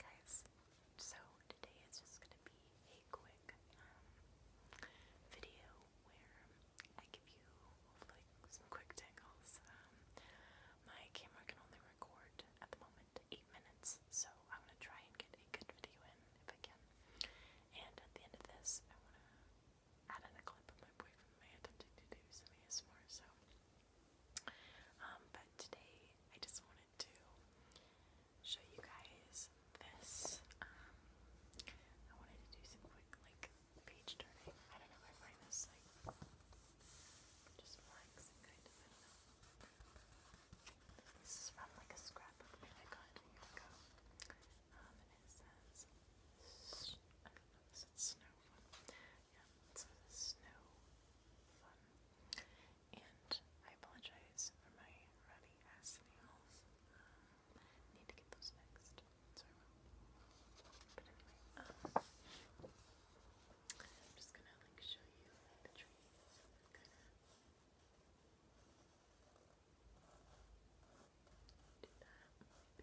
guys, so today is just going to be a quick um, video where I give you some quick tingles. Um, my camera can only record at the moment 8 minutes, so I'm going to try and get a good video in if I can. And at the end of this, I want to add in a clip of my boyfriend and my attempting to do some ASMR, so um, but today I just wanted to show you guys this. Um, I wanted to do some quick like page turning. I don't know, I find this like just relaxing This is from like a scrapbook I got a ago. Um, and it says, I don't know, is it Snowflake? and some snow fun. And I apologize for my ruddy ass nails. Um, need to get those fixed, so I will. But anyway, um, I'm just gonna like show you like, the trees, kind of. Do that, maybe. There we go.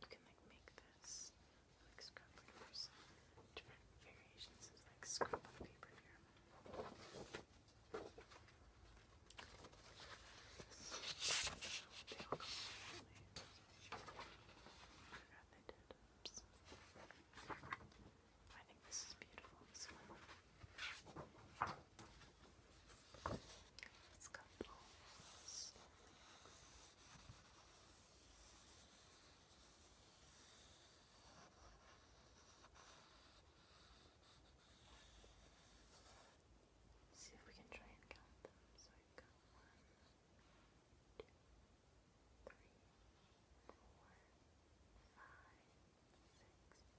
you can like make this like scrap different variations of like scrapbook paper I think this is beautiful. This one. Let's See if we can try and count them. So we've got one, two, three, four, five, six,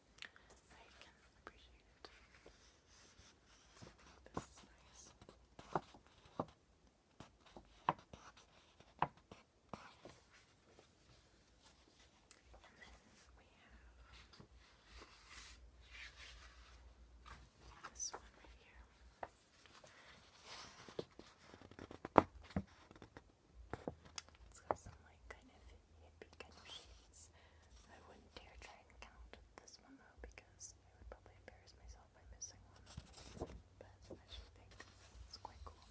I can appreciate it. This is nice. And then we have this one right here. It's got some like kind of yippee kind of shades. I wouldn't dare try and count this one though because I would probably embarrass myself by missing one. But I should think it's quite cool.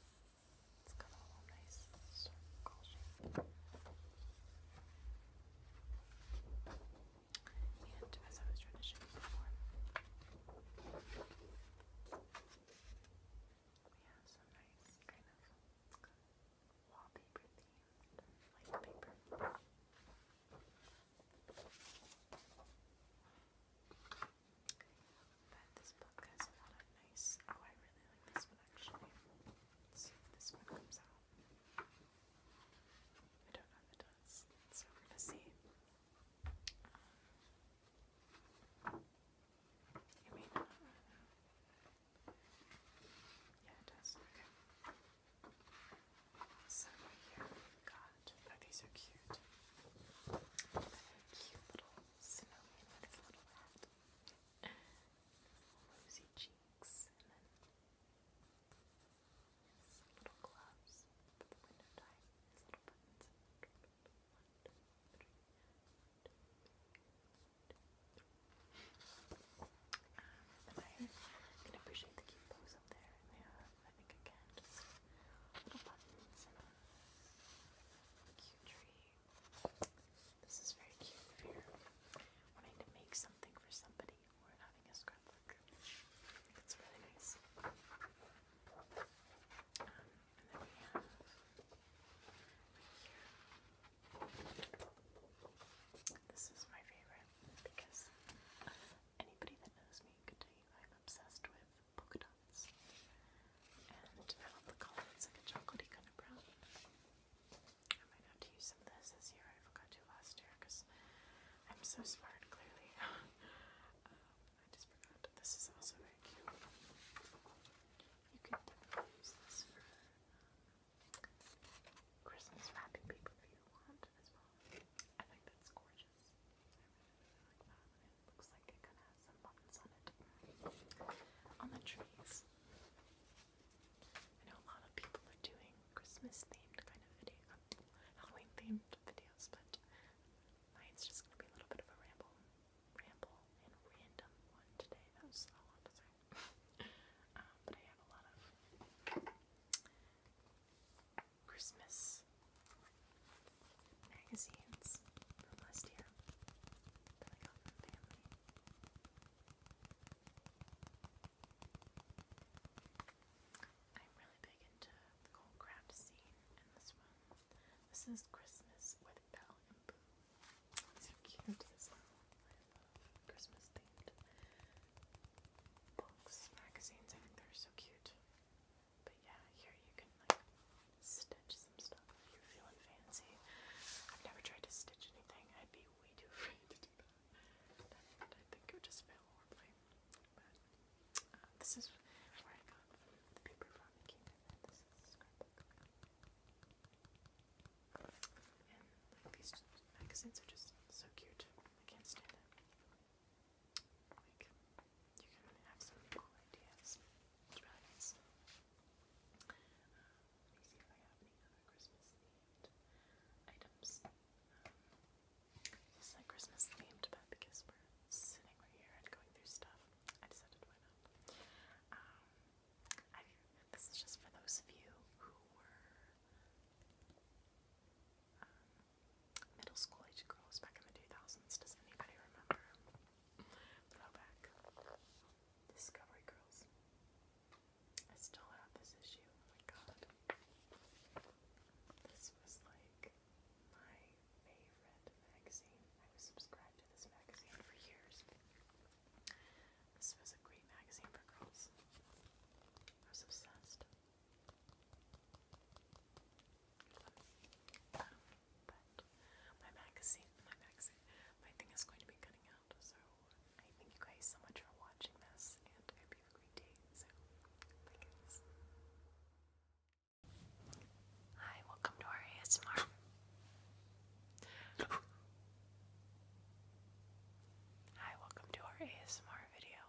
It's got a nice circle shape. And as I was trying to show you before, we have some nice kind of wallpaper themed light paper. But this book has a lot of nice. Oh, I really like this one actually. see if this one comes out. I don't know if it does, so we're gonna see. Um, it yeah, it does. Okay. So right here we've got, oh these are cute. A cute little snowman with his little hat. Rosy cheeks and then his little gloves for the window tie, his little buttons. One, two, three, four, five, six, seven, eight, nine, ten, eleven, twelve, thirteen, fourteen, fifteen, sixteen, seventeen, eighteen, nineteen, twenty, twenty-one, twenty-two, twenty-three, I can appreciate the cute bows up there. And they I think just little buttons and a cute tree. This is very cute if you're wanting to make something for somebody or having a scrapbook. It's really nice. This is my favorite because anybody that knows me could tell you I'm obsessed with polka dots. And I love the color, like a chocolatey kind of brown. I might have to use some of this this year. I forgot to last year because I'm so smart, clearly. Um, I just forgot. This is also very cute. You could definitely use this for um, Christmas wrapping paper if you want as well. I think that's gorgeous. I really, really like that. looks like it kind of some buttons on it. On the trees. I know a lot of people are doing Christmas themed kind of video, Halloween themed videos, but it's just gonna be a little bit of a ramble, ramble and random one today. That was a lot to say. Um, but I have a lot of Christmas magazines from last year I am really big into the cold craft scene, and this one this is Christmas with Belle and Boo. These are cute Christmas themed books, magazines. I think they're so cute. But yeah, here you can like stitch some stuff if you're feeling fancy. I've never tried to stitch anything. I'd be way too afraid to do that. But I think it would just fail horribly. Uh, this is where I got from the paper from it came in. this scrapbook. And these magazines are just so cute. I can't stand it. Like you can have some cool ideas. It's um, let me see if I have any other Christmas themed items. Um, it's like Christmas themed, but because we're sitting right here and going through stuff, I decided why not. Um, this is just for those of you who were um, middle school age girls back in the 2000s. Does anybody remember? Throwback. Discovery Girls. I still have this issue. Oh my god. This was like my favorite magazine. I was subscribed to this magazine for years. This was a great magazine for girls. I was obsessed. but my magazine, my magazine, my thing is going to be cutting out. So thank you guys so much for watching this, and I hope you Hi, welcome to our ASMR. Hi, welcome to our ASMR video.